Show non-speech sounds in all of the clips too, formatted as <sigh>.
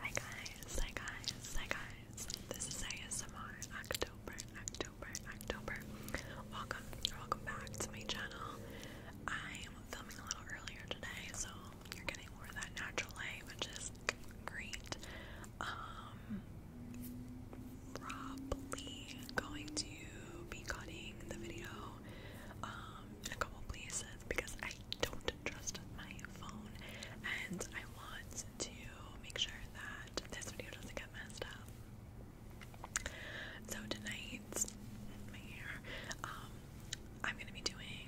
Hi guys, hi guys, hi guys. This is ASMR October, October, October. Welcome, welcome back to my channel. I am filming a little earlier today, so you're getting more of that natural light, which is great. Um, probably going to be cutting the video um, in a couple places because I I don't trust my phone, and I want to make sure that this video doesn't get messed up. So tonight, my hair, um, I'm gonna be doing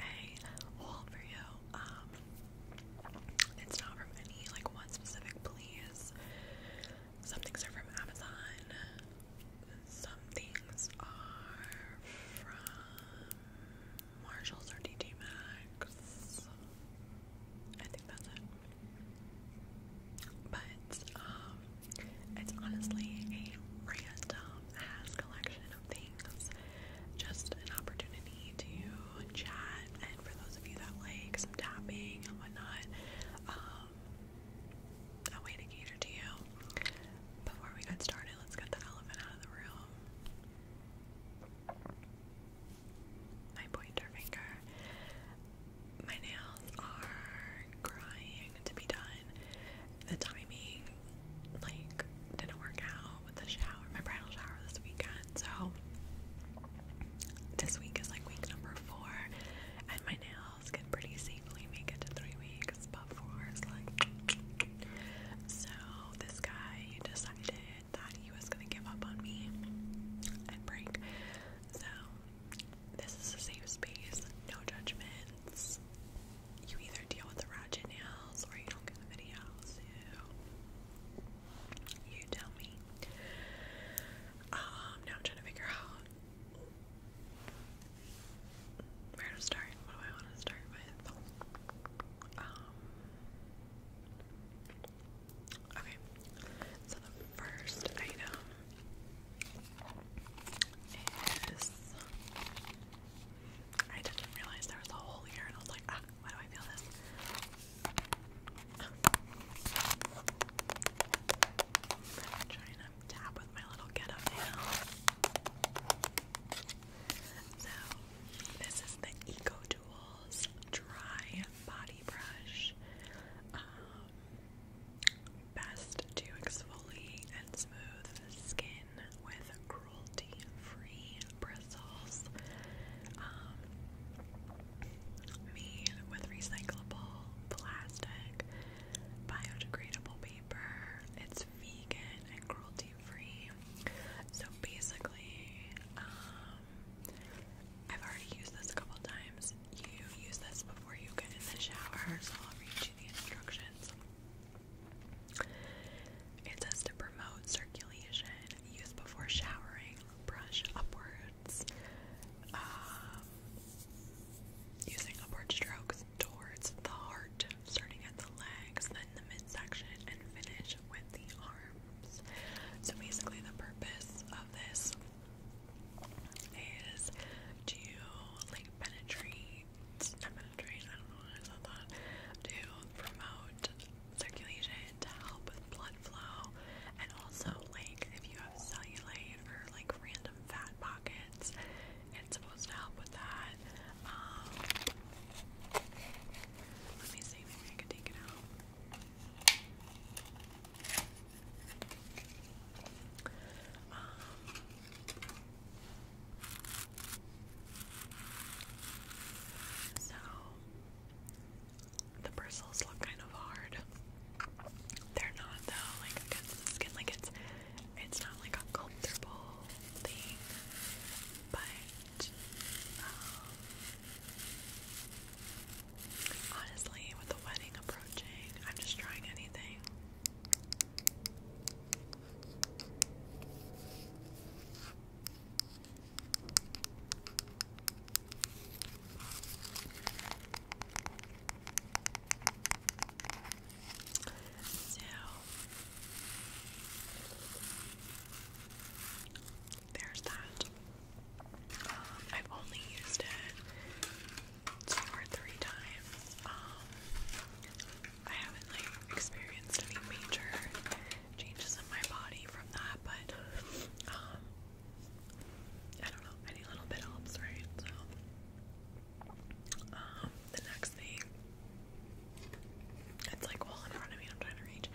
a haul video. Um, it's not from any like one specific place. Some things are from Amazon some things are from Marshalls or DT I think that's it. But um, it's honestly a random has collection of things. Just an opportunity to chat, and for those of you that like some tapping and whatnot, um, a way to cater to you. Before we get started, let's get the elephant out of the room. My pointer finger. My nails are crying to be done. The timing, like, didn't work out with the shower, my bridal shower this weekend. So, this week is like week number four, and my nails miles can pretty safely make it to three weeks, but four is like. So this guy decided that he was gonna give up on me and break. So this is a safe space, no judgments. You either deal with the ratchet nails or you don't get the video. you tell me. Um, now I'm trying to figure out where to start? What do I want to start with? Um, okay, so the first item is I didn't realize there was a hole here, and I was like, ah, why do I feel this? China i with my little get up now. So, this is the Eco Tools Dry Body Brush. Um, best to exfoliate and smooth skin with cruelty free bristles. Um, made with recyclable plastic, biodegradable paper it's vegan and cruelty free. So basically, um, I've already used this a couple times. You use this before you get in the shower, so I'll read you the instructions. It says to promote circulation, use before showering, brush upwards. Um, using upward strokes towards the heart, starting at the legs, then the midsection, and finish with the arms. So basically, the purpose of this is to like penetrate, not penetrate, I don't know what I said that, to promote circulation, to help with blood flow, and also like if you have cellulite or like random fat pockets, it's supposed to help with that. Um, let me see, maybe I can take it out. Um, so, the bristles look kind of hard. They're not though, like against the skin, like it's it's not like a comfortable thing, but um, honestly, with the wedding approaching, I'm just trying anything. So there's that. Um, I've only used it two or three times. Um, I haven't like experienced any major changes in my body from that, but um, I don't know. Any little bit helps, right? So. Um, the next thing, it's like all in front of me, I'm trying to reach.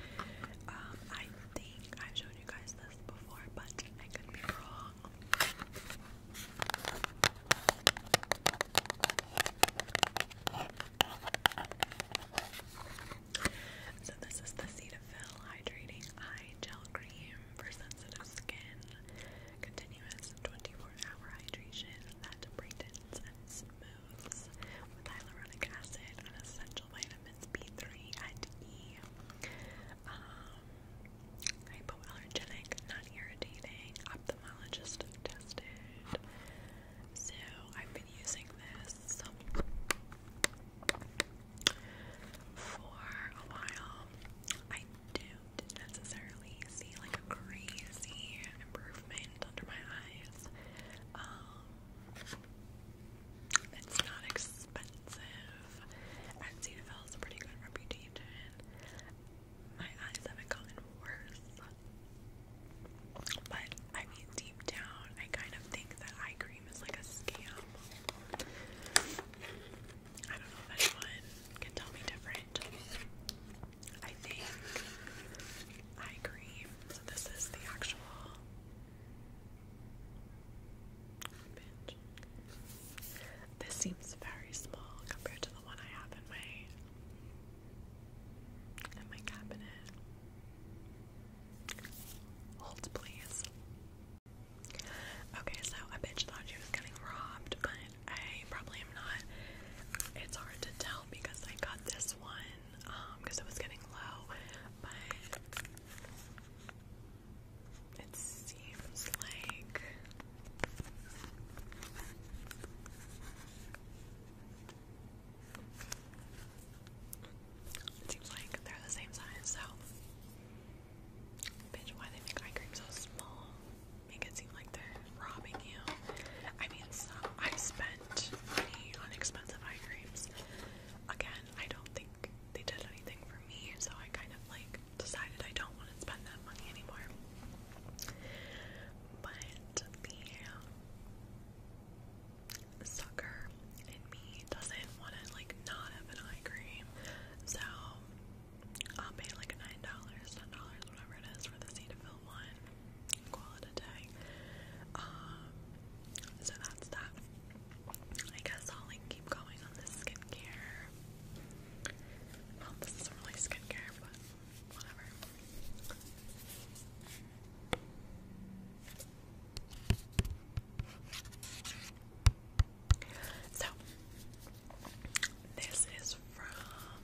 Um, I think I've shown you guys this before, but I could be wrong. So this is the Cetaphil Hydrating Eye Gel Cream for sensitive skin. Continuous 24-hour hydration that brightens and smooths with hyaluronic acid and essential vitamins B3 and E. Um, hypoallergenic, non-irritating, ophthalmologist tested. So I've been using this for a while. I do didn't necessarily see like a crazy improvement under my eyes. Um, it's not expensive. And Cetaphil has a pretty good reputation. My eyes haven't gotten worse. But I mean, deep down, I kind of think that eye cream is like a scam. I don't know if anyone can tell me different. I think I agree. So this is the actual pinch. This seems very small compared to the one I have in my in my cabinet. Hold please. Okay, so I bitch thought she was getting robbed, but I probably am not. It's hard to tell because I got this one because um, it was getting low, but it seems like it seems like they're the same size, so bitch why they make eye cream so small make it seem like they're robbing you. I mean, I've spent money on expensive eye creams. Again, I don't think they did anything for me, so I kind of like decided I don't want to spend that money anymore. But the sucker in me doesn't want to like not have an eye cream, so I'll pay like nine dollars, ten dollars, whatever it is, for the C to fill one quality um, so that's that. I guess I'll keep going on this skincare. Well, this isn't really skincare, but whatever. So this is from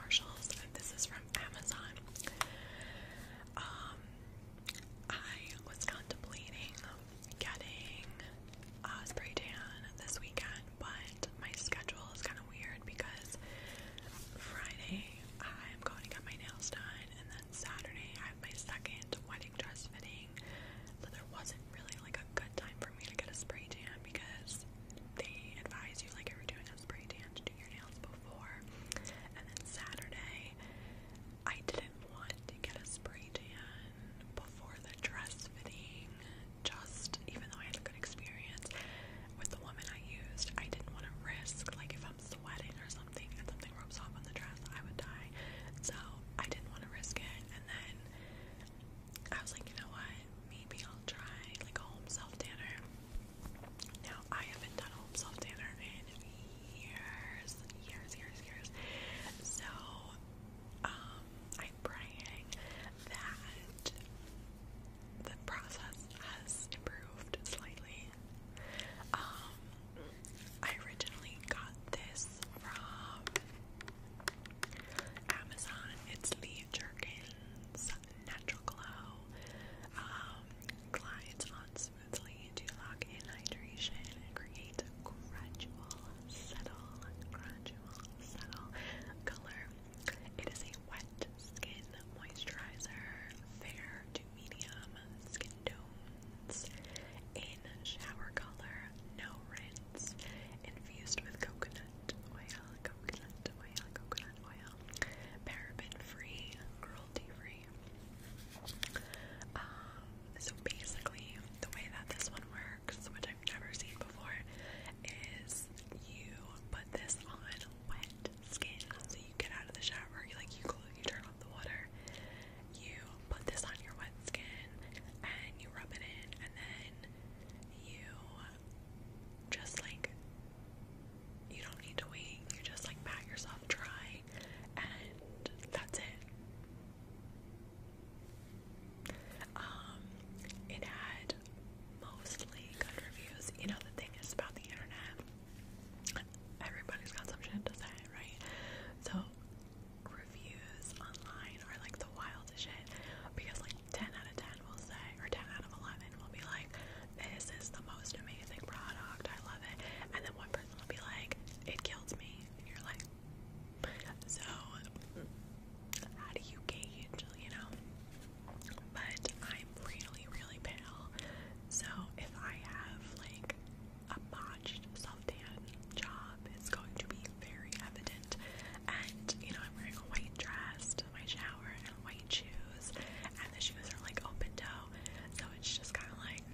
Marshalls and this is from Amazon. Um I was contemplating getting a spray tan this weekend, but my schedule is kind of weird because Friday I'm going to get my nails done, and then Saturday I have my second wedding dress fitting. So there wasn't really like a good time for me to get a spray tan because they advise you, like if you're doing a spray tan, to do your nails before. And then Saturday, I didn't want to get a spray tan before the dress fitting. Just even though I had a good experience with the woman I used, I didn't want to risk like if I'm sweating or something and something rubs off on the dress, I would die. So I didn't want to risk it. And then I was like, you know what? Maybe I'll try like a home self tanner. Now I haven't done home self tanner in years, years, years, years. So um, I'm praying that the process has improved slightly. Um, I originally got this from Amazon. It's the Jerkins Natural Glow. glides um, on smoothly to lock in hydration and create a gradual, subtle, gradual, subtle color. It is a wet skin moisturizer, fair to medium skin tones, in shower color, no rinse infused with coconut oil, coconut oil, coconut oil, paraben-free, cruelty-free. Um, so basically, the way that this one works, which I've never seen before, is you put this on wet skin. So you get out of the shower, like you close, you turn off the water, you put this on your wet skin, and you rub it in, and then you just like you don't need to wait. You just like pat yourself dry and that's it. Um it had mostly good reviews. You know the thing is about the internet. Everybody's got some shit to say, right? So reviews online are like the wildest shit because like 10 out of 10 will say, or 10 out of 11 will be like, this is the most amazing product, I love it. And then one person will be like, it killed me. And you're like, so how do you gauge, you know? But I'm really, really pale. So if I have like a botched self tan job, it's going to be very evident. And you know, I'm wearing a white dress my shower and white shoes, and the shoes are like open toe, so it's just kind of like,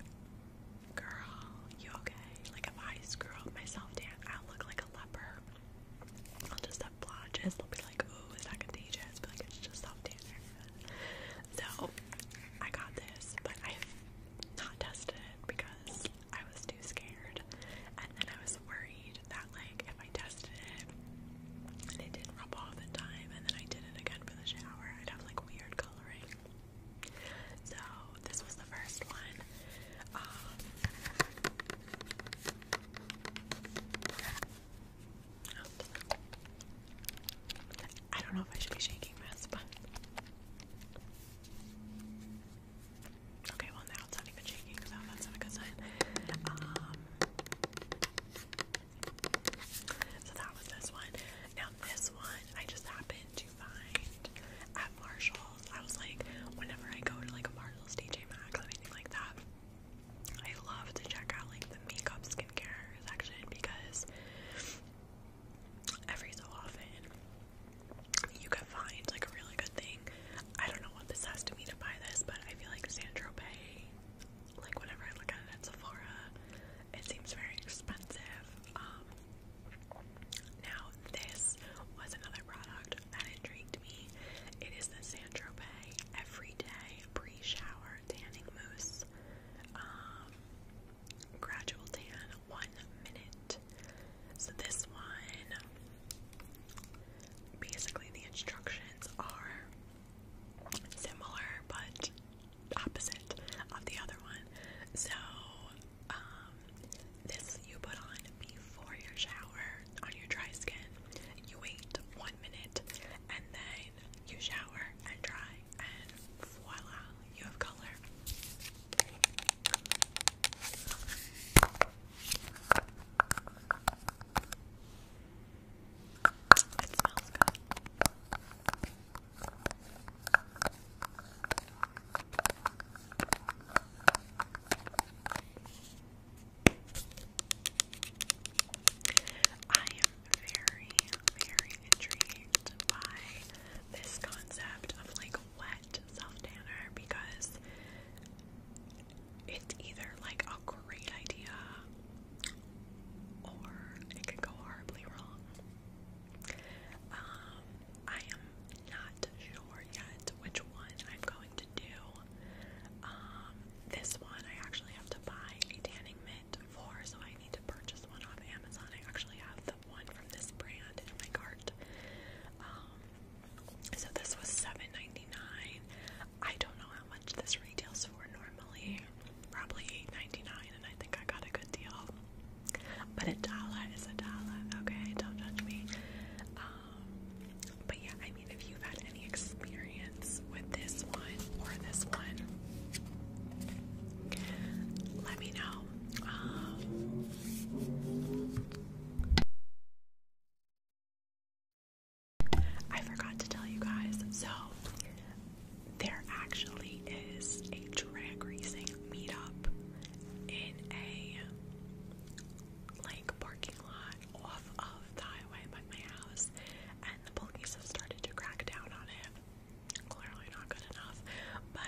girl, you okay? Like if I screw up myself, Dan, I'll look like a leper. I'll just have blotches. They'll be like, ooh, is that contagious? But like it's just off tanner. So I got this, but I've not tested because I was too scared. And then I was worried that, like, if I tested it and it didn't rub off in time, and then I did it again for the shower, I'd have like weird coloring. So, this was the first one. Um, I don't know if I should be shaking this, but. Okay, well now it's not even shaking, so that's not a good sign. Um, so that was this one. Now this one, I just happened to find at Marshalls. I was like, whenever I go to like a Marshalls, DJ Maxx, anything like that, I love to check out like the makeup skincare section because every so often you can find like a really good thing. I don't know what possessed me to buy this, but I feel like Saint Tropez, like whenever I look at it at Sephora, it seems very expensive. Um, now this was another product that intrigued me. It is the Saint Tropez Everyday Pre-Shower Tanning Mousse. Um, gradual tan, one minute. So this one, basically the instructions are similar but opposite of the other one. So um, this you put on before your shower on your dry skin. You wait one minute and then you shower and dry and voila, you have color. It smells I am very, very intrigued by this concept of like wet self tanner because it's either like a great idea or it could go horribly wrong. Um, I am not sure yet which one I'm going to do. Um, this one I actually have to buy a tanning mitt for, so I need to purchase one off Amazon. I actually have the one from this brand in my cart. Um, so this was $7.99. I don't know how much this retails for normally. Probably $8.99, and I think I got a good deal. But a dollar is a dollar, okay? Don't judge me. Um, but yeah, I mean, if you've had any experience with this one or this one, let me know. Um, I forgot to tell you guys, so there actually is a drag racing meetup in a like parking lot off of the highway by my house, and the police have started to crack down on it. Clearly not good enough, but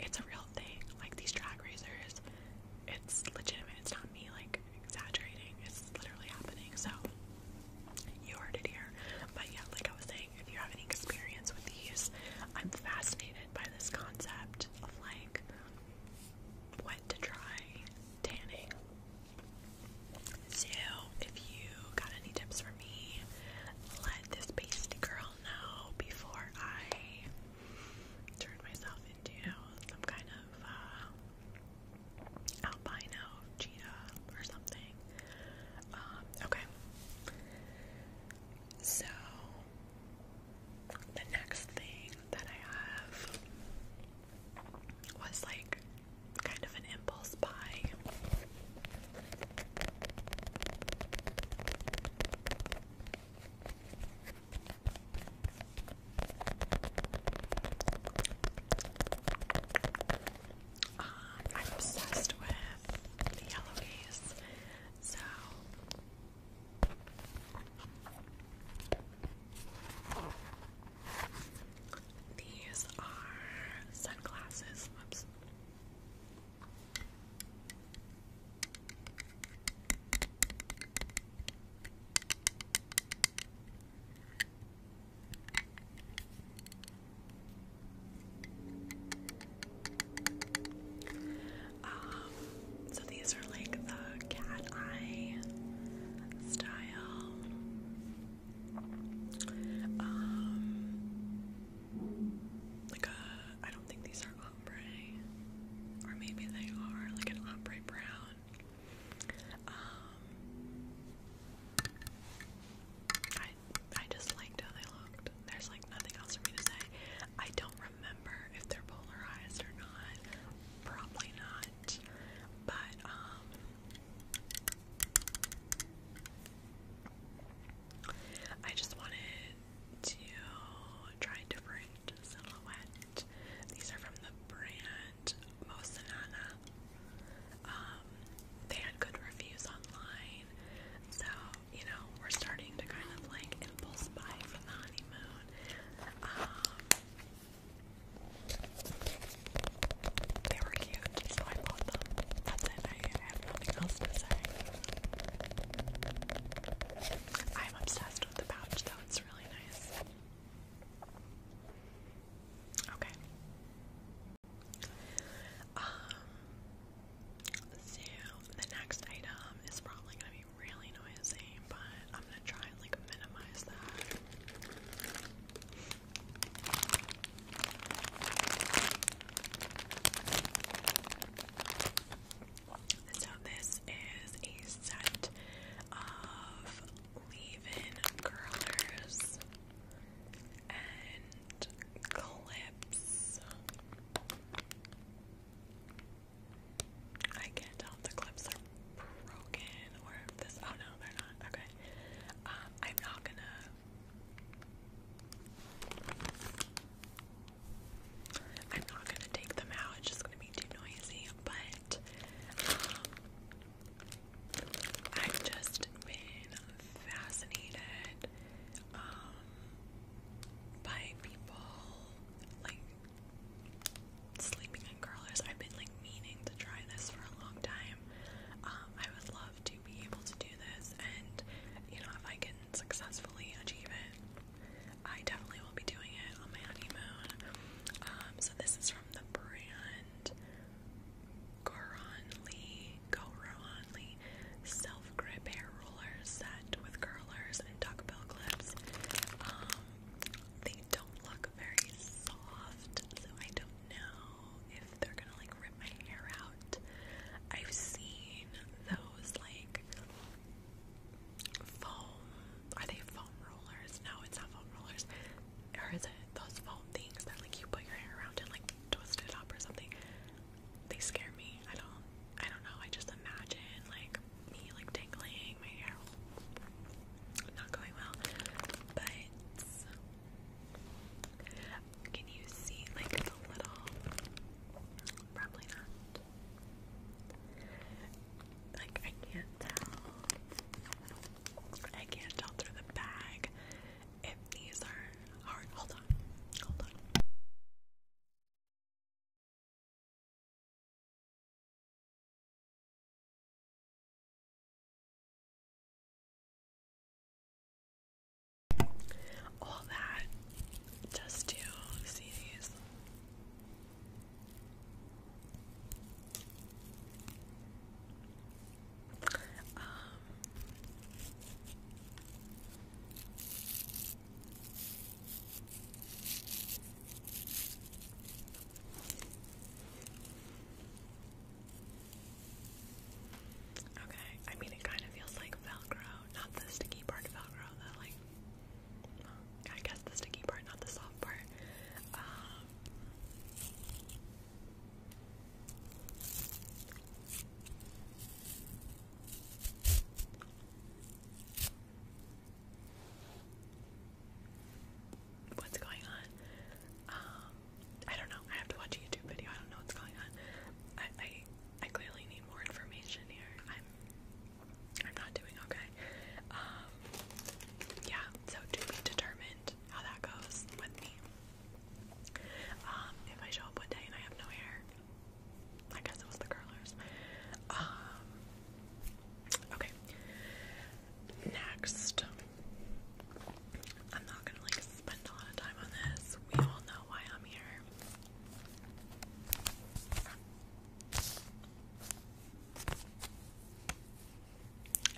it's a real thing. Like these drag racers, it's legitimate. It's not me like exaggerating. It's literally happening. So you heard it here. But yeah, like I was saying, if you have any experience with these, I'm fascinated by this concept of like what to try tanning. So if you got any tips for me, let this pasty girl know before I turned myself into you know, some kind of uh, albino cheetah or something. Um, okay. So, the next thing that I have was like kind of an impulse buy. Um, I'm obsessed with the yellowies, so these are sunglasses. Oops. Um, so these are like the cat eye style. Um, like a, I don't think these are ombre, or maybe they are like an ombre brown. Um, I I just liked how they looked. There's like nothing else for me to say. I don't remember if they're polarized or not. Probably not. But um. I just wanted to try different silhouette. These are from the brand Mosanana. Um, they had good reviews online, so you know we're starting to kind of like impulse buy for the honeymoon. Um, they were cute, so I bought them. That's it. I have nothing else to say. I'm obsessed with the pouch though, it's really nice. Okay. Um so the next item is probably gonna be really noisy, but I'm gonna try like minimize that. So this is a set of leave-in curlers and clips. I can tell the clips are broken or this. Oh no, they're not. Okay. Um, I'm not gonna. I'm not gonna take them out, it's just gonna be too noisy, but um, I've just been fascinated um, by people like sleeping in curlers. I've been like meaning to try this for a long time. Um, I would love to be able to do this, and you know, if I can successfully achieve it. I definitely will be doing it on my honeymoon. Um, so this is from the brand Goronly Goronly Self Grip Hair Roller Set with curlers and duckbill clips. Um, they don't look very soft, so I don't know if they're gonna like rip my hair out. I've seen those like foam. Are they foam rollers? No, it's not foam rollers. Or is it those foam things that like you put your hair around and like twist it up or something? They scare me. I don't. I don't know. I just imagine like me like tingling my hair. Not going well, but. Can you see like the little? Probably not. Like, I can't tell. I can't tell through the bag if these are hard. Hold on. Hold on. All that just to see these. Um, okay, I mean it kind of feels like Velcro, not the sticky part of Velcro, the like I guess the sticky part, not the soft part. Um, what's going on? Um, I don't know. I have to watch a YouTube video. I don't know what's going on. I I, clearly need more information here. I'm not doing okay. Um, yeah, so to be determined how that goes with me. Um, if I show up one day and I have no hair, I guess it was the curlers. Um, okay. Next, I'm not gonna like spend a lot of time on this. We all know why I'm here.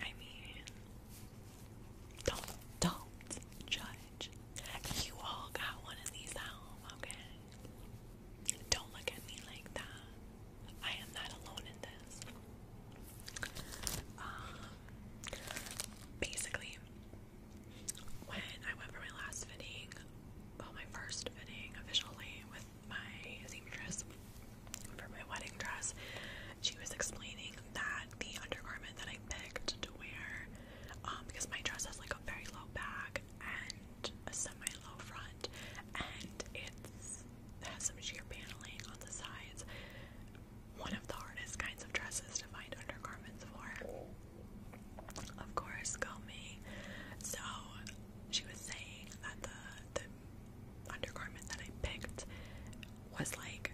I mean, don't don't judge. You all got one of these at home, okay? Don't look at me like that. I am not alone in this. Um, basically, when I went for my last fitting, well, my first fitting officially with my seamstress for my wedding dress, she was explaining that the undergarment that I picked to wear, um, because my dress has like a very low back and a semi-low front, and it's it has some sheer paneling on the sides. One of the hardest kinds of dresses to find undergarments for. Of course, call me. So she was saying that the the undergarment that I picked was like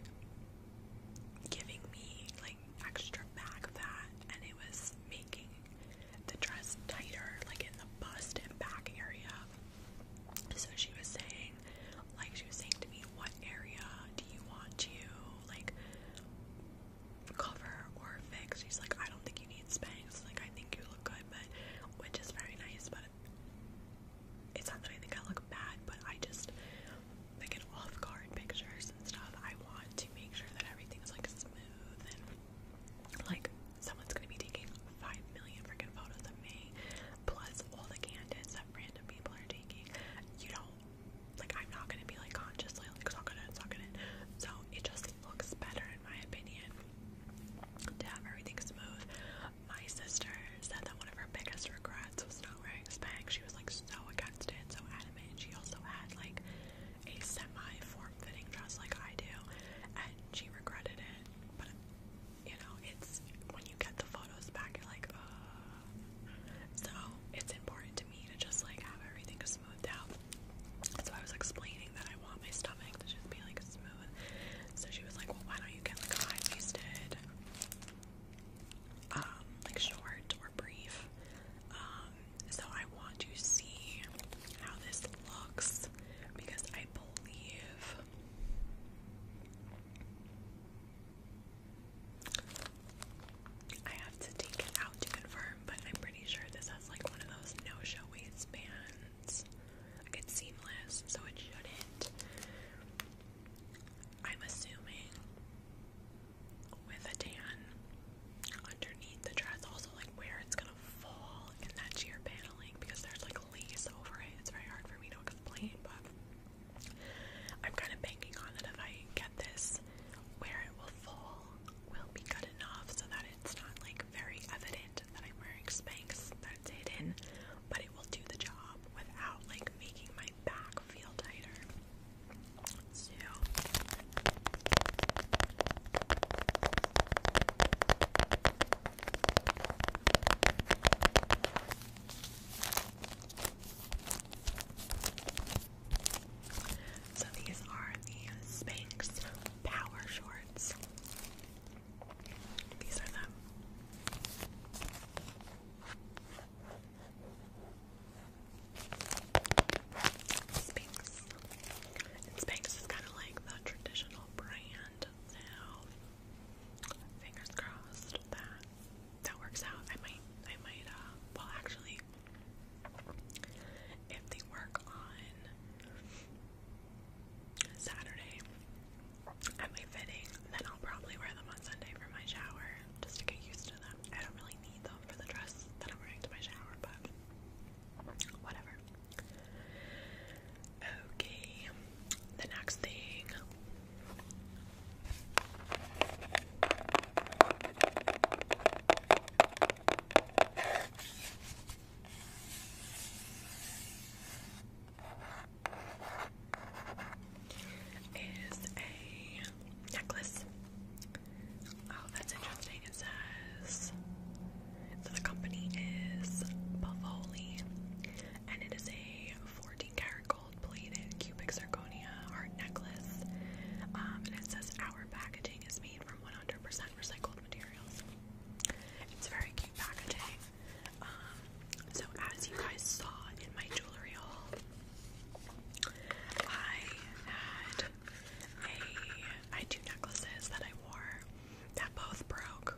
giving me like extra back fat and it was making the dress tighter, like in the bust and back area. So she was saying, like she was saying to me, what area do you want to like cover or fix. She's like, I don't think you need Spanx. Like, I think you look good, but which is very nice. But it's not that I think I look bad, but I just like in off guard pictures and stuff. I want to make sure that everything is like smooth and like someone's gonna be taking five million freaking photos of me, plus all the candid that random people are taking. You don't like I'm not gonna be like consciously like sucking it, sucking it. So it just looks better in my opinion to have everything smooth. My sister said that one of her biggest regrets was not wearing Spanx. She was like so against so adamant. She also had like a semi-form-fitting dress like I do, and she regretted it. But you know, it's when you get the photos back, like, So it's important me to just like have everything smoothed out. So I was explaining that I want my stomach to just be like smooth. So she was like, Well, why don't you get like high waisted, um, like short or brief? Um, so I want to see how this looks because I believe I have to take it out to confirm, but I'm pretty sure this has like one of those no-show waistbands. Like it's seamless, so it shouldn't. I'm assuming with a tan underneath the dress, also like where it's gonna fall in that sheer paneling because there's like lace over it. It's very hard for me to explain, but I'm kind of banking on that if I get this where it will fall will be good enough so that it's not like very evident that I'm wearing Spanx that's hidden, but it will do the job without like making my back feel tighter. So so these are the Spanx Power Shorts. These are them. Spanx. Spanx is kind of like the traditional brand, so fingers crossed that that works out. I might, I might, uh, well, actually, if they work on Saturday at my fitting, then I'll probably wear them on Sunday for my shower just to get used to them. I don't really need them for the dress that I'm wearing to my shower, but whatever. Okay, the next thing is a necklace. Oh, that's interesting. It says the company is Bavoli and it is a 14 karat gold plated cubic zirconia heart necklace. Um, and it says our packaging is made from 100% recycled materials. It's very cute packaging. Um, so as you guys saw in my jewelry haul, I had two necklaces that I wore that both broke.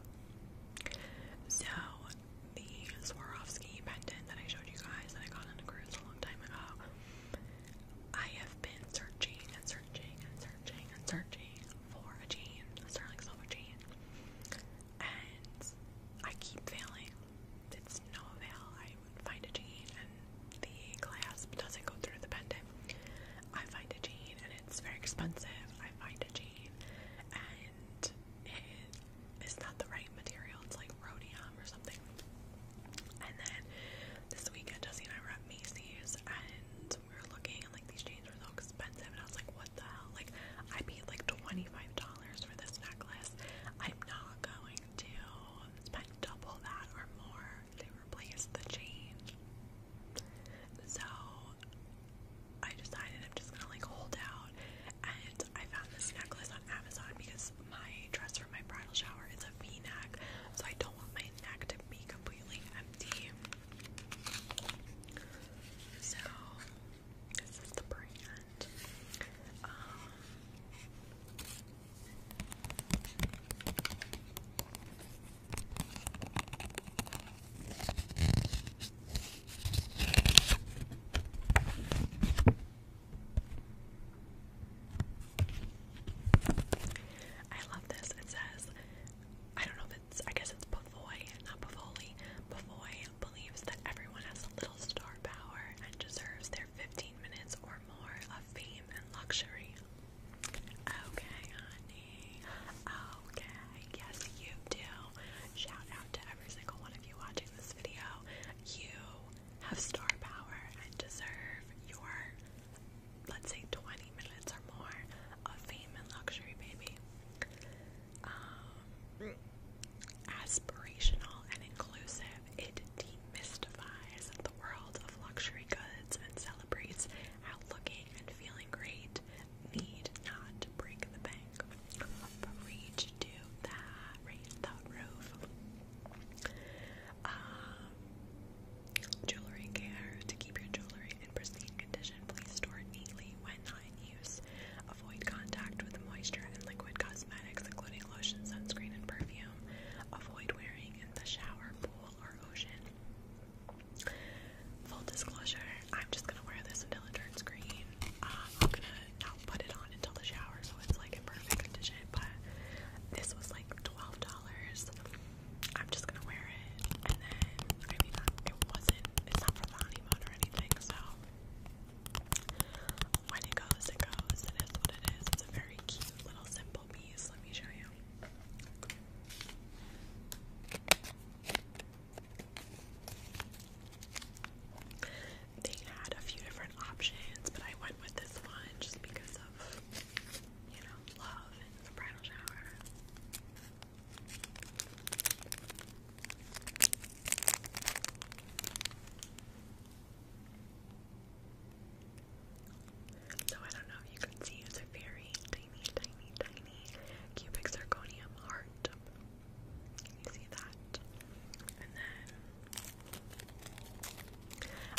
So the Swarovski pendant that I showed you guys that I got on a cruise a long time ago I have been searching and searching and searching and searching for a jean, a Sterling Silver jean, and I keep failing. It's no avail. I find a jean and the clasp doesn't go through the pendant. I find a jean and it's very expensive. I find a jean and it is not the right material. It's like rhodium or something. And then this weekend, Jesse and I were at Macy's and we were looking and like these jeans were so expensive. And I was like, what the hell? Like, I paid like $25 for this necklace. I'm not going to spend double that or more to replace the chain. So I decided I'm just gonna like hold out. And I found this necklace on Amazon because my dress for my bridal shower is a v-neck, so I don't want my neck to be completely empty. So, this is the brand. Um, I love this. It says, I don't know if it's, I guess it's Pavoy, not Pavoli. Pavoy believes that everyone has a little star power and deserves their 15 minutes or more of fame and luxury. Okay, honey. Okay, yes, you do. Shout out to every single one of you watching this video. You have star power and deserve your, let's say, 20 minutes or more of fame and luxury, baby. Um, aspirational and inclusive, it demystifies the world of luxury goods and celebrates how looking and feeling great need not break the bank. But reach to that right the roof. Uh, Jewelry care. To keep your jewelry in pristine condition, please store it neatly when not in use. Avoid contact with moisture and liquid cosmetics, including lotion, sunscreen, and perfume. Avoid wearing in the shower, pool, or ocean. Full disclosure, I'm just gonna wear this until it turns green. Uh, I'm gonna not put it on until the shower so it's like in perfect condition. But this was like twelve dollars. I'm just gonna wear it, and then I mean, it wasn't. It's not from the honeymoon or anything, so when it goes, it goes. It is what it is. It's a very cute little simple piece. Let me show you. They had a few different options, but I went with this one just because of, So I don't know you can see, it's a very tiny, tiny, tiny cubic zirconium heart. you see that? And then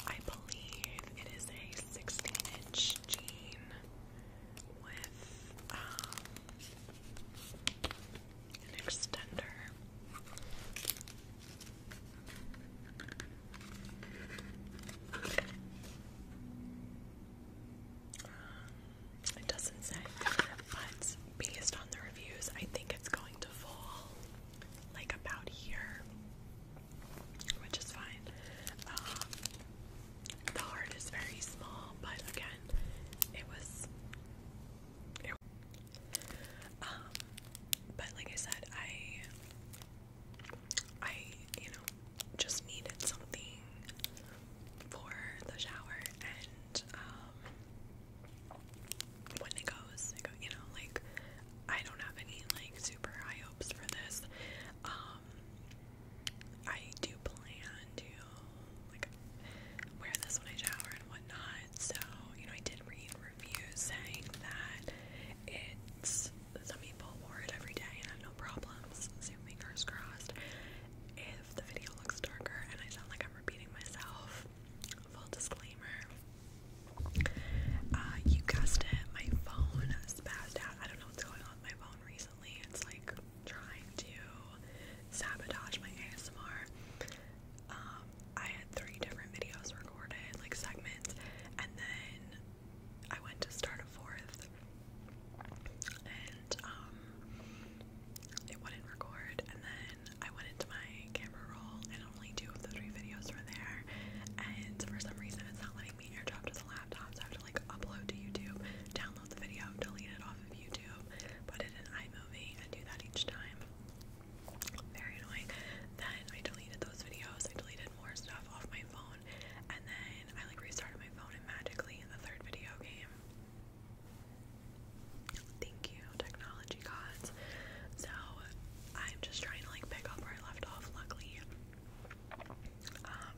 I believe it is a 16 inch jean with um, an extender. Um, it doesn't say, but based on the reviews, I think it's going to fall like about here which is fine. Um, the heart is very small, but again, it was. Um, but like I said, I, I you know, just needed something for the shower, and um, when it goes, you know, like I don't have any like super high hopes for this. Um, I do plan to like wear this when I shower and whatnot. So you know, I did read reviews saying that it's some people wore it every day and had no problems. So fingers crossed. If the video looks darker and I sound like I'm repeating myself, full disclaimer. Uh, you guessed it, my phone spazzed out. I don't know what's going on with my phone recently. It's like trying to sabotage my ASMR. Um, I had three different videos recorded, like segments, and then I went to start a fourth, and um, it wouldn't record. And then I went into my camera roll only two of the three videos were there, and for some reason it's not letting me airdrop to the laptop, so I have to like upload to YouTube, download the video, delete it off of YouTube, put it in iMovie, and do that each time. Very annoying. Then I deleted those videos, I deleted more stuff off my phone, and then I like restarted my phone and magically the third video game. Thank you, technology. So I'm just trying to like pick up where I left off. Luckily, um,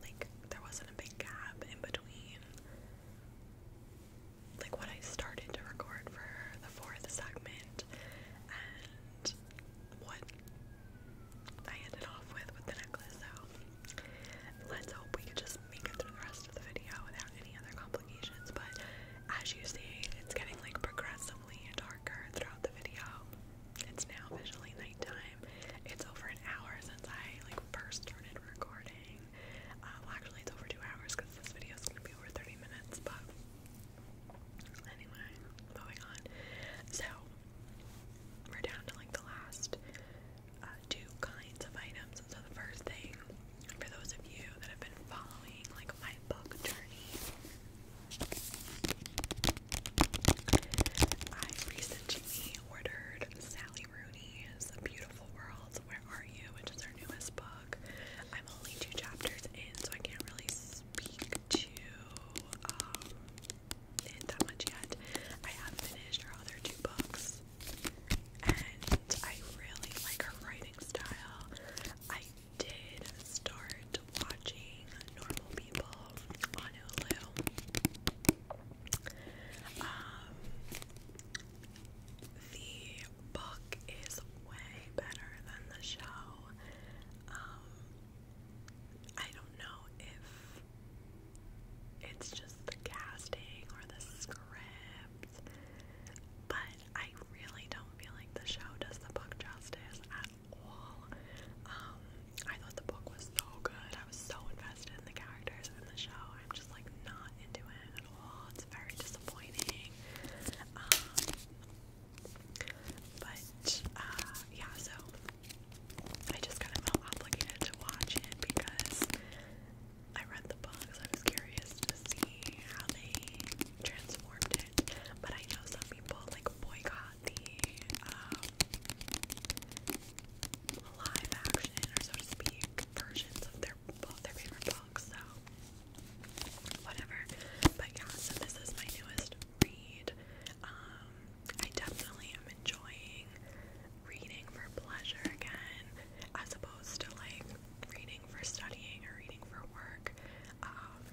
like there wasn't a big gap in between like what I started to record for the fourth segment and what I ended off with with the necklace. So let's hope we can just make it through the rest of the video any other complications, but as you see, it's getting like progressively darker throughout the video. It's now visually nighttime. It's over an hour since I like first started recording. Um, well, actually, it's over two hours because this video is gonna be over 30 minutes, but anyway, moving on. So, we're down to like the last uh, two kinds of items. So, the first thing for those of you that have been following like my book journey, I recently ordered Sally Rooney's Beautiful Worlds Where Are You, which is her newest book. I'm only two chapters in, so I can't really speak to um, it that much yet. I have finished her other two books, and I really like her writing style. I did start watching Normal People on Hulu. Um, the book is way better than the show. Um, I don't know if it's just the casting or the script, but I really don't feel like the show does the book justice at all. Um, I thought the book was so good. I was so invested in the characters in the show. I'm just like not into it at all. It's very disappointing. Um, but uh, yeah, so I just kind of felt obligated to watch it because I read the books. I was curious to see how they transformed it. But I know some people like boycott the um, live action or so to versions of their both their favorite books. So whatever. But yeah, so this is my newest read. Um, I definitely am enjoying reading for pleasure again, as opposed to like reading for studying or reading for work. Um,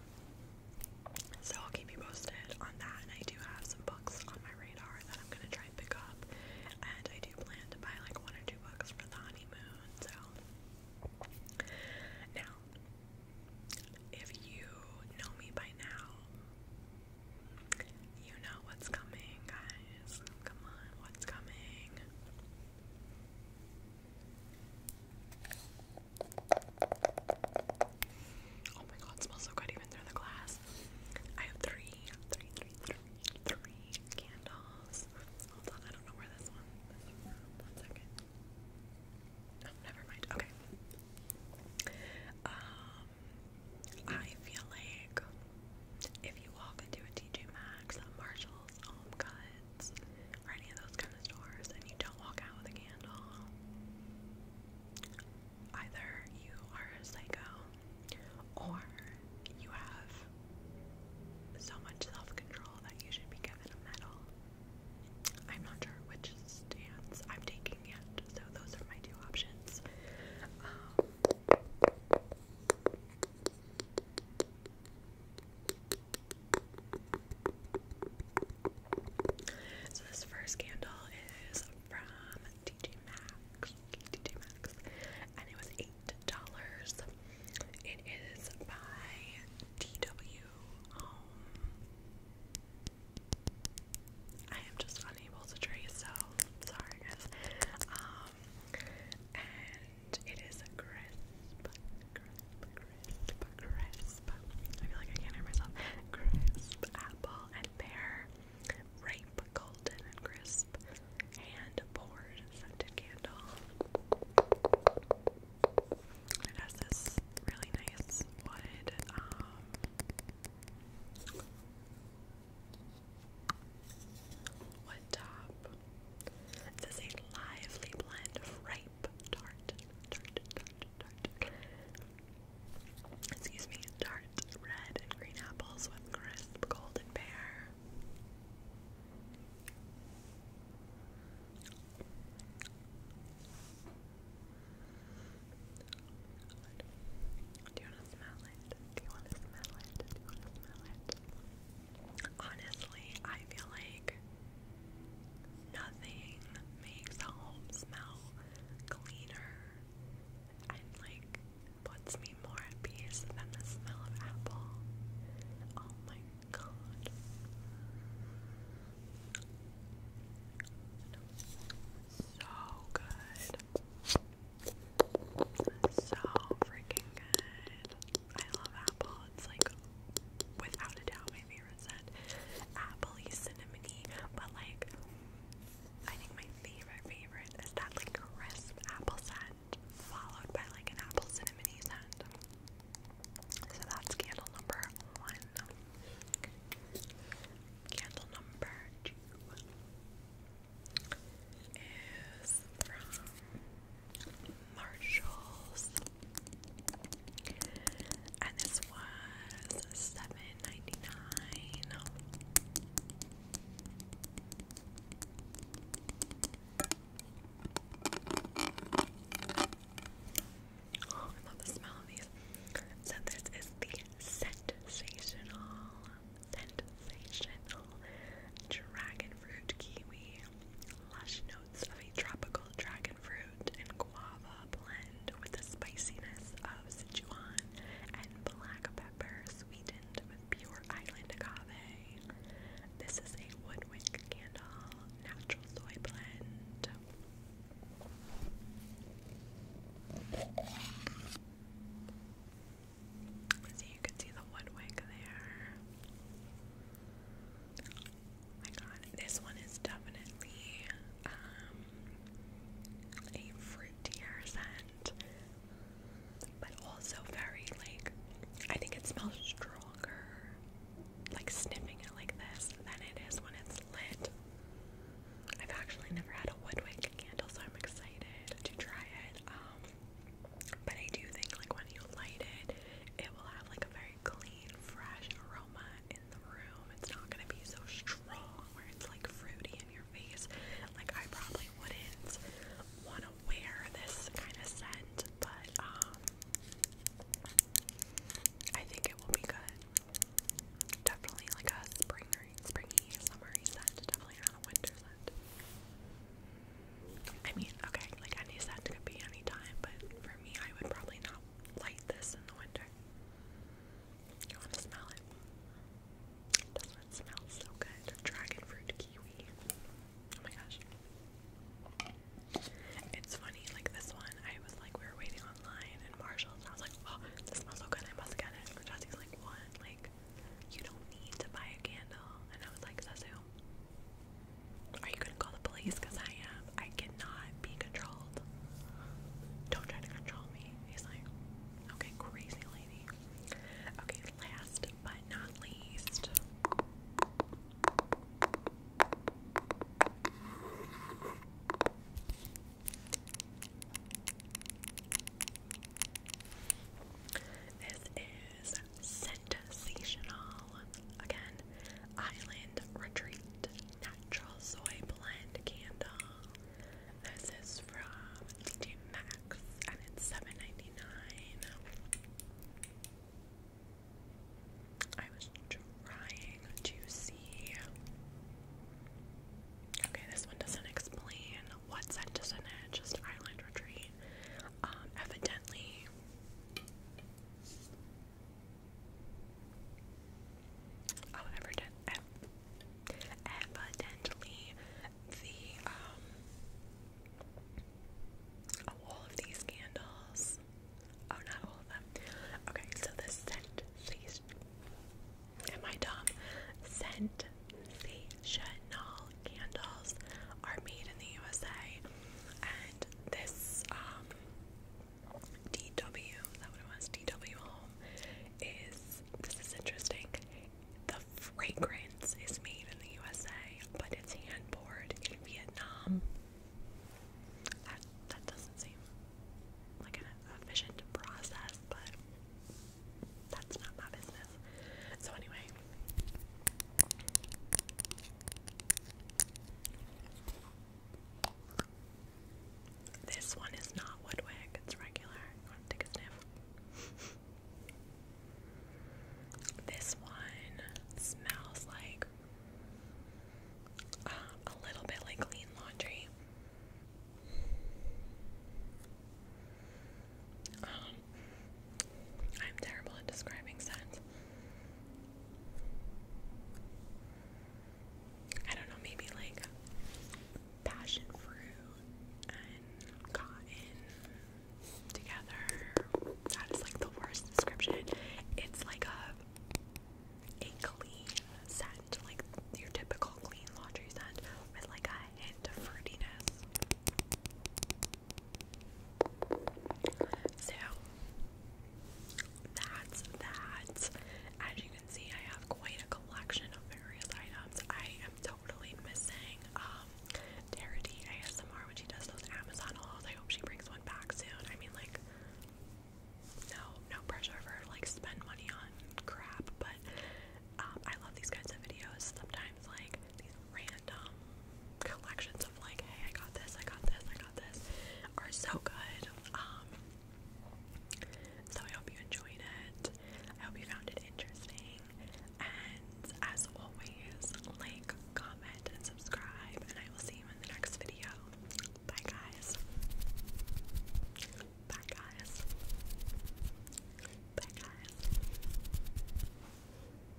so I'll keep you posted on that. And I do have some books on my radar that I'm gonna try and pick up. And I do plan to buy like one or two books for the honeymoon. So now, if you know me by now, you know what's coming, guys. Come on, what's coming? Oh my god, it smells so good even through the glass. I have three, three, three, three, three candles. Hold on, I don't know where this one never mind. Okay. Um, I feel like if you walk into a TJ Maxx, a Marshalls, Home Goods, or any of those kind of stores and you don't walk out with a candle, either you are a psycho or you have so much self control that you should be given a medal. I'm not sure which stands. I'm taking yet, so those are my two options. Um, so this first candle is from TJ Maxx, TJ Maxx, and it was eight dollars. It is by TW Home. I am just unable to trace, so sorry guys. Um, it is crisp, crisp, crisp, crisp. I feel like I can't hear myself. Crisp apple and pear, ripe, golden, and crisp. Hand poured scented candle. It has this really nice wood. Um, wood top it a lively blend of ripe, tart, tart, tart, tart. Excuse me, tart, red and green apples with crisp golden pear. Do you want to smell it? Do you want to smell it? Do you want to smell it? Honestly, I feel like nothing makes a home smell cleaner and like puts me more at peace than the smell of apple. Oh my god. So good. So freaking good. I love apple. It's like without a doubt my favorite scent. Appley cinnamony, but like I think my favorite favorite is that like crisp apple scent followed by like an apple cinnamony scent. So that's candle number one. Candle number two is from Marshalls. And this was seven ninety nine. Oh, I love the smell of these. So this is the sensational, sensational dragon kiwi lush no of a tropical dragon fruit and guava blend with the spiciness of Sichuan and black pepper sweetened with pure island agave. This is a Woodwick candle natural soy blend. So you can see the woodwick there. Oh my god, this one is definitely um, a fruitier scent, but also very like I think it smells stronger like sniffing it like this than it is when it's lit. I've actually never had a woodwick candle, so I'm excited to try it. Um, but I do think like when you light it, it will have like a very clean, fresh aroma in the room. It's not gonna be so strong where it's like fruity in your face. Like I probably wouldn't wanna wear this kind of scent, but um, I think it will be good. Definitely like a springy, springy, summery scent. Definitely not a winter scent. I mean, okay, like any scent could be any time, but for me, I would probably not light this in the winter. You want to smell it? Doesn't it smell so good? Dragon fruit kiwi. Oh my gosh. It's funny, like this one, I was like, we were waiting online in Marshall's, and I was like, oh, this smells so good, I must get it. And like, what? Like, you don't need to buy a candle. And I was like, Sasu, are you gonna call the police? Cause I am. I cannot be controlled. Don't try to control me. He's like, okay, crazy lady. Okay, last but not least. This is sensational. Again, Island Retreat Natural Soy Blend Candle. This is from TJ Maxx and it's 7 I was trying to see. Okay, this one doesn't explain what scent just Island Retreat. Um, evidently oh, evidently the um all of these candles oh not all of them okay so the scent these and my dumb scent the Chanel candles are made in the USA, and this um, DW, is that what it was? DW Home is this is interesting. The fragrance is made in the USA, but it's hand poured in Vietnam. That that doesn't seem like an efficient process, but that's not my business. So anyway, this one is not woodwick, it's regular. take a sniff? <laughs> this one smells like uh, a little bit like clean laundry. Um, I'm terrible at describing scents. I don't know, maybe like passion fruit and cotton together. That is like the worst description. It's like a clean scent, like your typical clean laundry scent with like a hint of fruitiness. So that's that. As you can see, I have quite a collection of various items. I am totally missing um Darity ASMR when she does those Amazon hauls. I hope she brings one back soon. I mean like no no pressure for like spend money on crap, but um, I love these kinds of videos. Sometimes like these random um, collections of like, hey, I got this, I got this, I got this, are so good. Um, so I hope you enjoyed it. I hope you found it interesting. And as always, like, comment, and subscribe. And I will see you in the next video. Bye, guys. Bye, guys. Bye, guys.